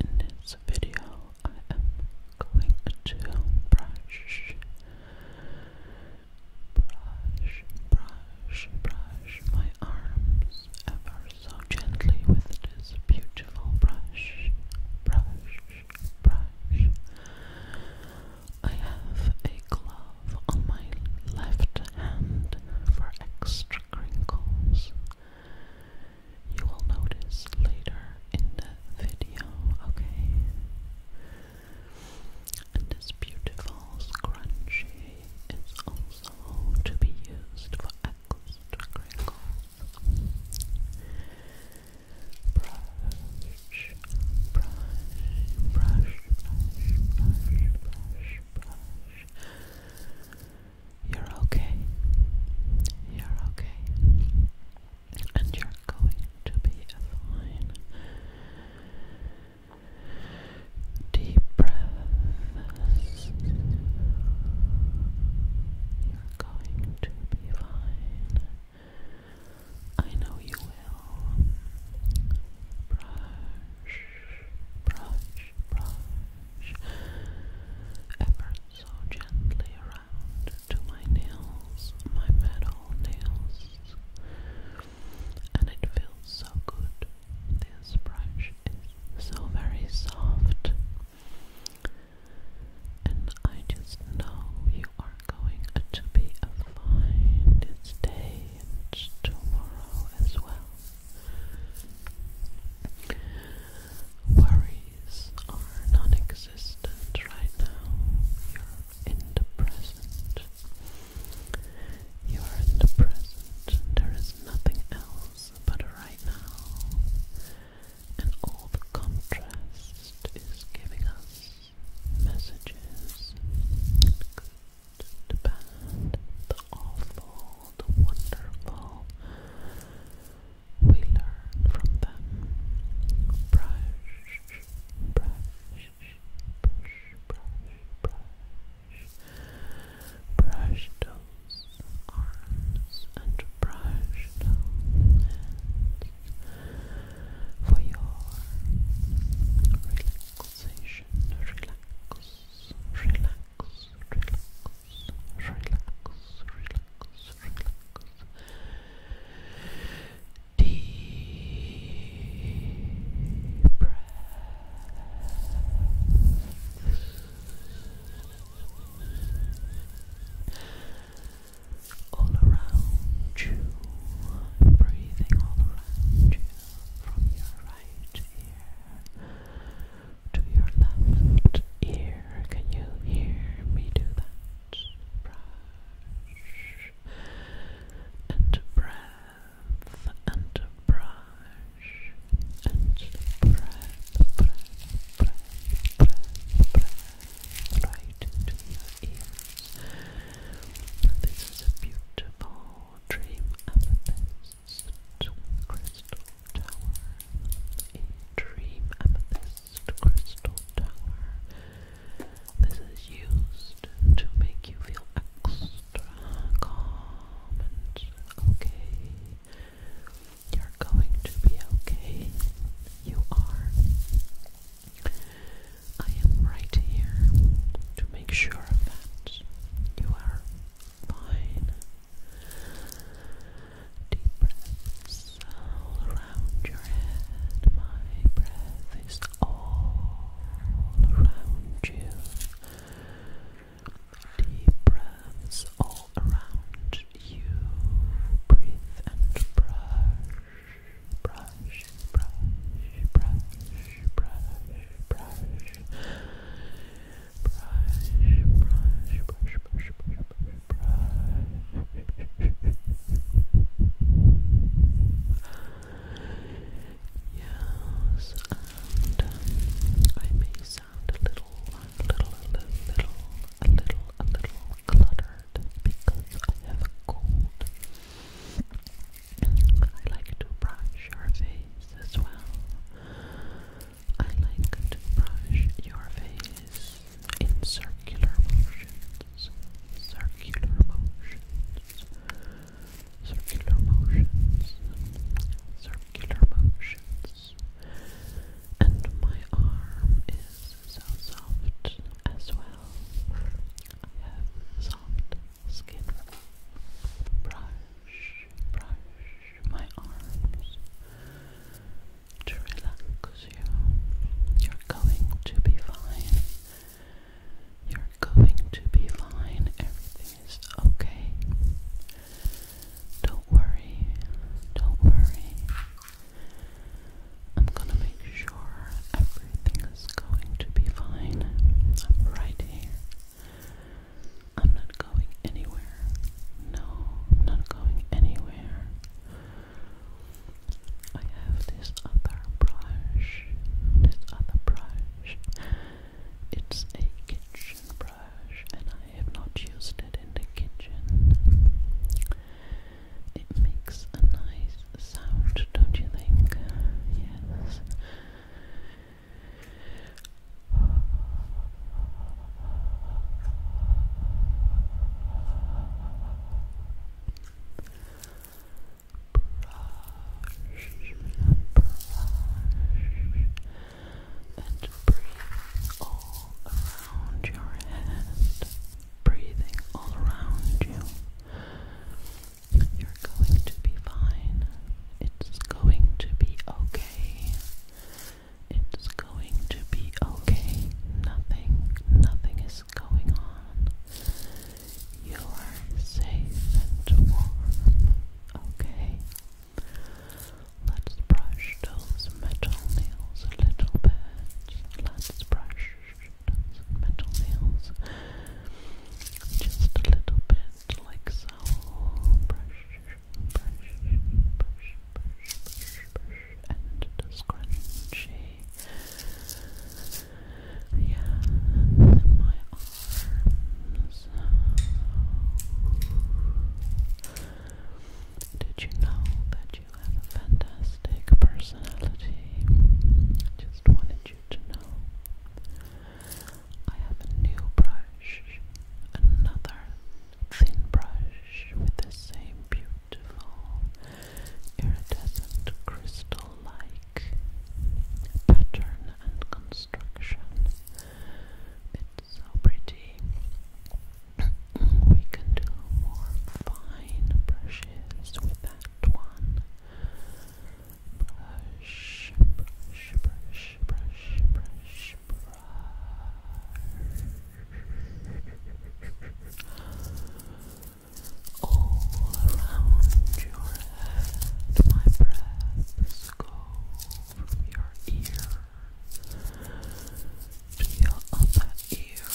In this video, I am going to brush, brush, brush, brush my arms ever so gently with this beautiful brush, brush, brush. I have a glove on my left hand for extra crinkles you will notice later in the video, okay? this beautiful scrunchie is also to be used for extra crinkles. brush, brush, brush, brush, brush, brush. You're okay. You're okay. And you're going to be fine. Deep breaths. You're going to be fine. I know you will. Brush, brush, brush ever so gently around to my nails, my metal nails, and it feels so good. This brush is so very soft, and I just know you are going to be a fine day tomorrow as well. Worries are non existent right now. You're in the present. You are in the present. There is nothing else but right now. And all the contrast is giving us messages. Good, the bad, the awful, old, wonderful. We learn from them. Brush, brush, brush, brush, brush. Brush those arms and brush those for your relaxation. Relax, relax, relax relax, relax. Deep breath. All around you, breathing all around you from your right ear to your left ear. Can you hear me do that? Brush and breath and brush and breath, breath, breath, breath, breath, right into your ears. This is a beautiful dream amethyst. Amethyst Crystal Tower. A Dream Amethyst Crystal Tower. This is used to make you feel extra calm and okay. You're going to be okay. You are. I am right here to make sure that you are fine. Deep breaths all around your head. My breath is all around you. Deep breaths all around you. Breathe and brush, brush, brush, brush, brush, brush brush, brush, brush, brush, brush. yes, and um, I may sound a little, a little, a little, a little, a little cluttered because I have a cold. I like to brush your face as well. I like to brush your face in circular motions, circular motions, circular motions, circular motions. And my arm is so soft as well. I have soft skin. Brush, brush, my arms to relax you. You're going to be fine. You're going to be fine. Everything is okay. Don't worry. Don't worry. I'm gonna make sure everything is going to be fine. I'm right here. I'm not going anywhere. No, not going anywhere. I have this other brush. This other brush. It's a kitchen brush, and I have not used it in the kitchen. It makes a nice sound, don't you think? Yes and breathe all around your head, breathing all around you. You're going to be fine. It's going to be okay. It's going to be okay. Nothing, nothing is going on. You are safe and warm. Okay. Let's brush those metal nails a little bit. Let's brush those metal nails just a little bit like so. Brush, brush, brush, brush, brush, brush, and the Yeah, my arms. Did you know that you have a fantastic personality? Just wanted you to know. I have a new brush, another thin brush with the same beautiful iridescent crystal-like pattern and construction. It's pretty. we can do more fine brushes with that one. Brush, brush, brush brush, brush, brush, brush. All around your head, my breaths go from your ear to your other ear.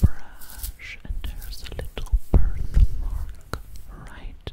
Brush, and there's a little birthmark right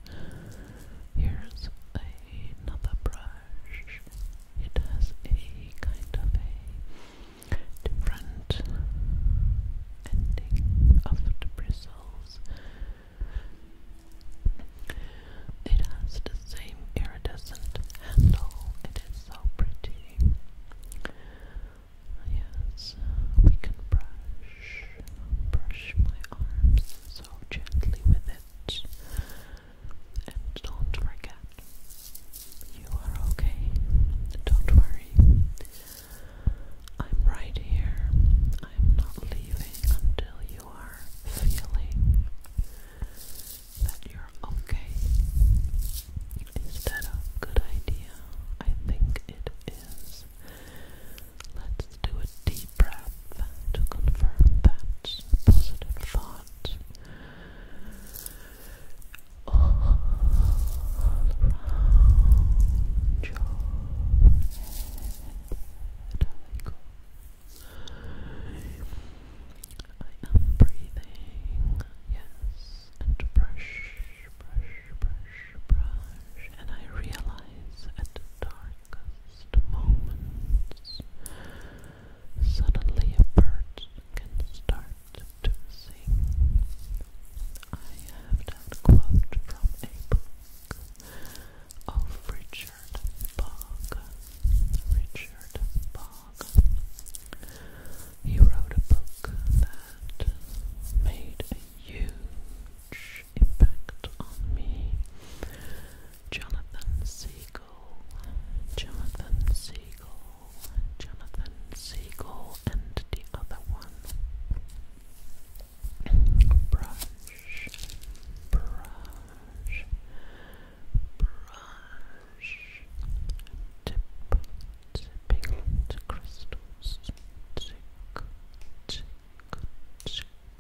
Here's another brush. It has a kind of a different ending of the bristles. It has the same iridescent handle. It is so pretty. Yes, we can brush, brush my arms so gently with it. And don't forget, you are okay. Don't worry. I'm right here. I'm not leaving until you are feeling that you're okay. Is that a good idea? I think it is. Let's do a deep breath to confirm that positive thought. All around your head. I go. I am breathing, yes, and brush, brush, brush, brush, and I realize at the dark a moment, suddenly a bird can start to sing. I have that quote from a book of oh, Richard Bog. Richard Bog. He wrote a book that made huge huge impact on me. Jonathan Siegel, Jonathan Siegel, Jonathan Siegel, and the other one. Brush, brush, brush. Tip, tipping to crystals. Tick, tick, tick. You're going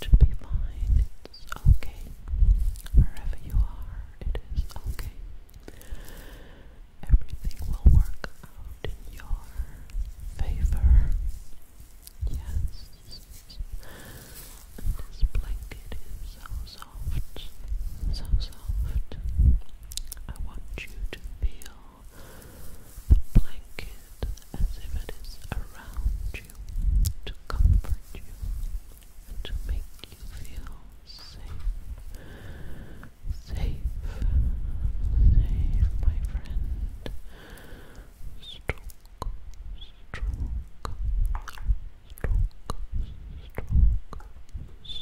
to be fine. It's okay. Wherever you are, it is okay. Everything will work out in your favor. Yes. this blanket is so soft, so soft. I want you to feel the blanket as if it is around you to comfort you, to make you feel safe. Safe, safe, my friend. Stroke, stroke, stroke, stroke, stroke, stroke.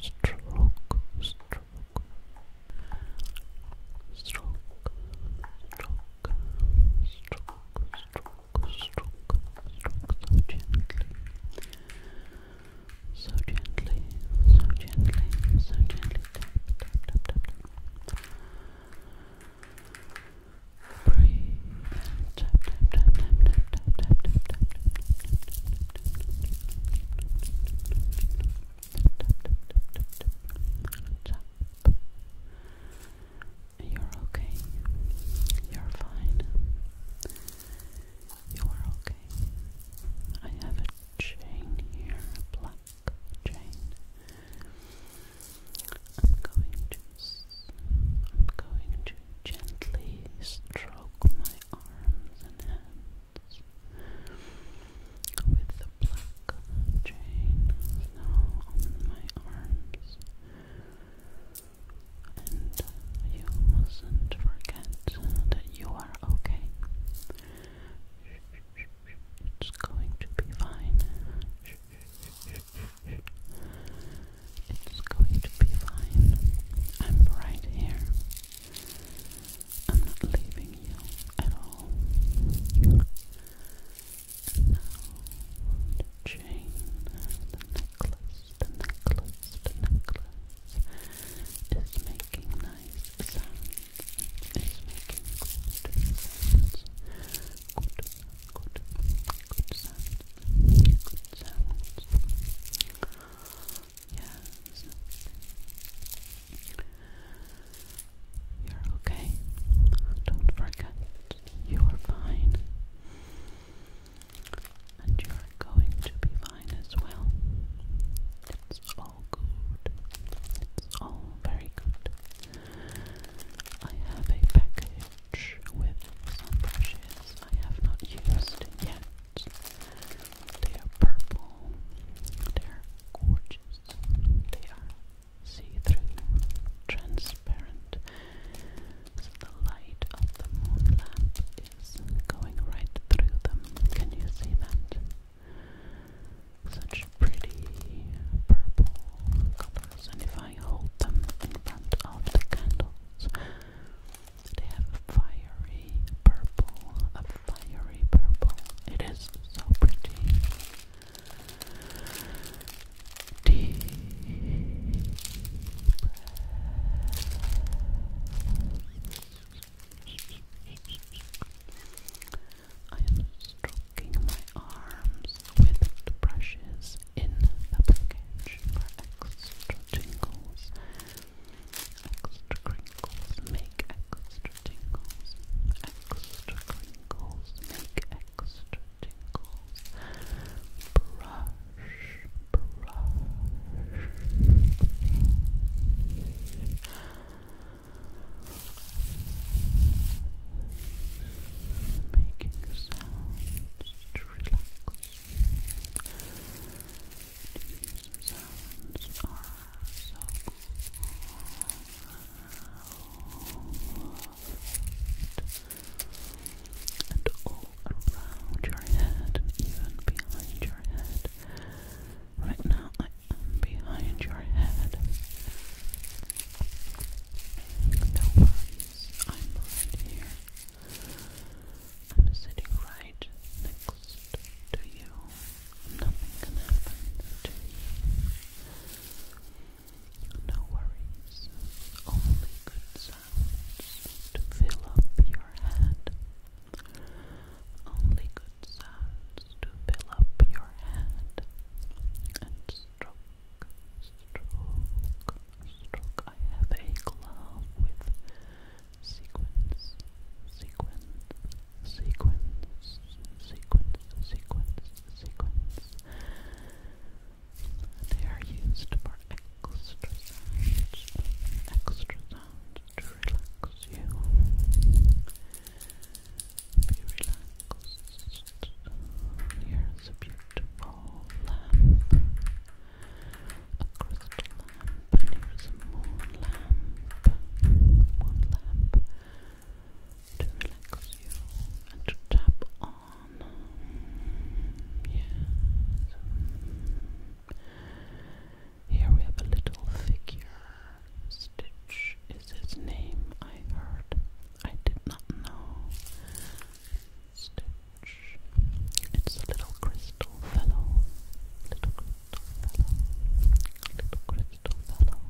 Stroke, stroke, stroke, stroke, stroke, stroke so gently, so gently, so gently, so gently. Tap, tap, tap, tap, tap. Breathe and tap, tap, tap, tap, tap, tap, tap, tap, tap, tap. Tap. You're okay. You're fine. You are okay. I have a chain here, a black chain. I'm going to I'm going to gently stroke my arms and hands with the black chain now on my arms. And you mustn't forget that you are okay. It's going to be fine. It's going to be fine. I'm right here. I'm not leaving you at all. now the the necklace, the necklace, the necklace is making nice sounds, is making good sounds, good, good, good sounds, good sounds, yes. You're okay. Don't forget, you're fine and you're going to be fine as well. It's all good. It's all very good. I have a package with some brushes I have not used yet. They are purple. They are gorgeous. They are see-through, transparent the light of the moon lamp is going right through them. Can you see that? Such pretty purple colors. And if I hold them in front of the candles, they have a fiery purple, a fiery purple. It is so pretty. Deep I am stroking my arms with the brushes in the package for extra tingles. Extra crinkles make extra tingles. Extra crinkles make extra tingles. Brush, brush. Making sounds to relax. These sounds are so cool and all around your head and even behind your head. Right now, I am behind your head. No worries, I'm right here. I'm sitting right next to you. Nothing can happen to you. No worries, only good sounds to fill up your head. Only good sounds to fill up your head. And stroke, stroke, stroke. I have a glove with sequins, sequins, sequins, sequins, sequins, sequins. They are used for extra sounds, extra sounds to relax you. Be relaxed. Here's a beautiful lamp, a crystal lamp, and here's a moon lamp, moon lamp to relax you and to tap on on. Here we have a little figure. Stitch is his name, I heard. I did not know. Stitch. It's a little crystal fellow. Little crystal fellow. Little crystal fellow.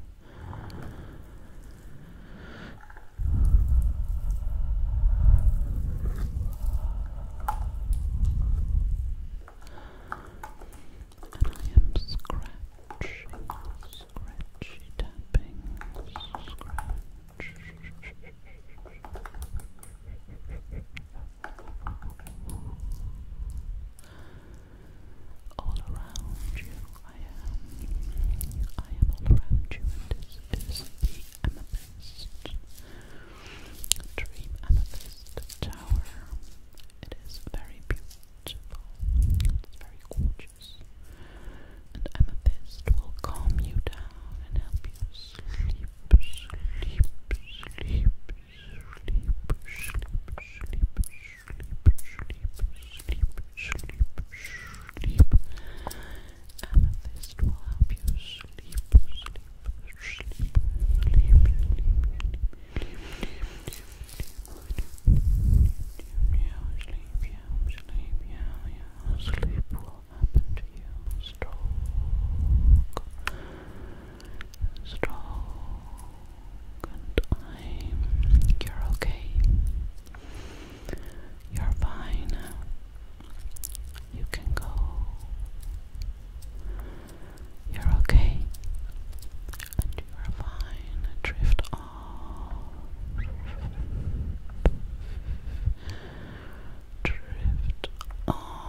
And I am scratching, scratchy tapping, scratch. All around you, I am. I am all around you, and this is the amethyst, dream amethyst tower. It is very beautiful. It's very gorgeous. And amethyst will calm you down and help you sleep, sleep, sleep, sleep, sleep, sleep, sleep, sleep, sleep, sleep, sleep. Amethyst will help you sleep, sleep, sleep, sleep, sleep, sleep, sleep, sleep, sleep will happen to you. Stroke, stroke, and I'm, you're okay. You're fine. You can go. You're okay. And you are fine. Drift off. Drift off.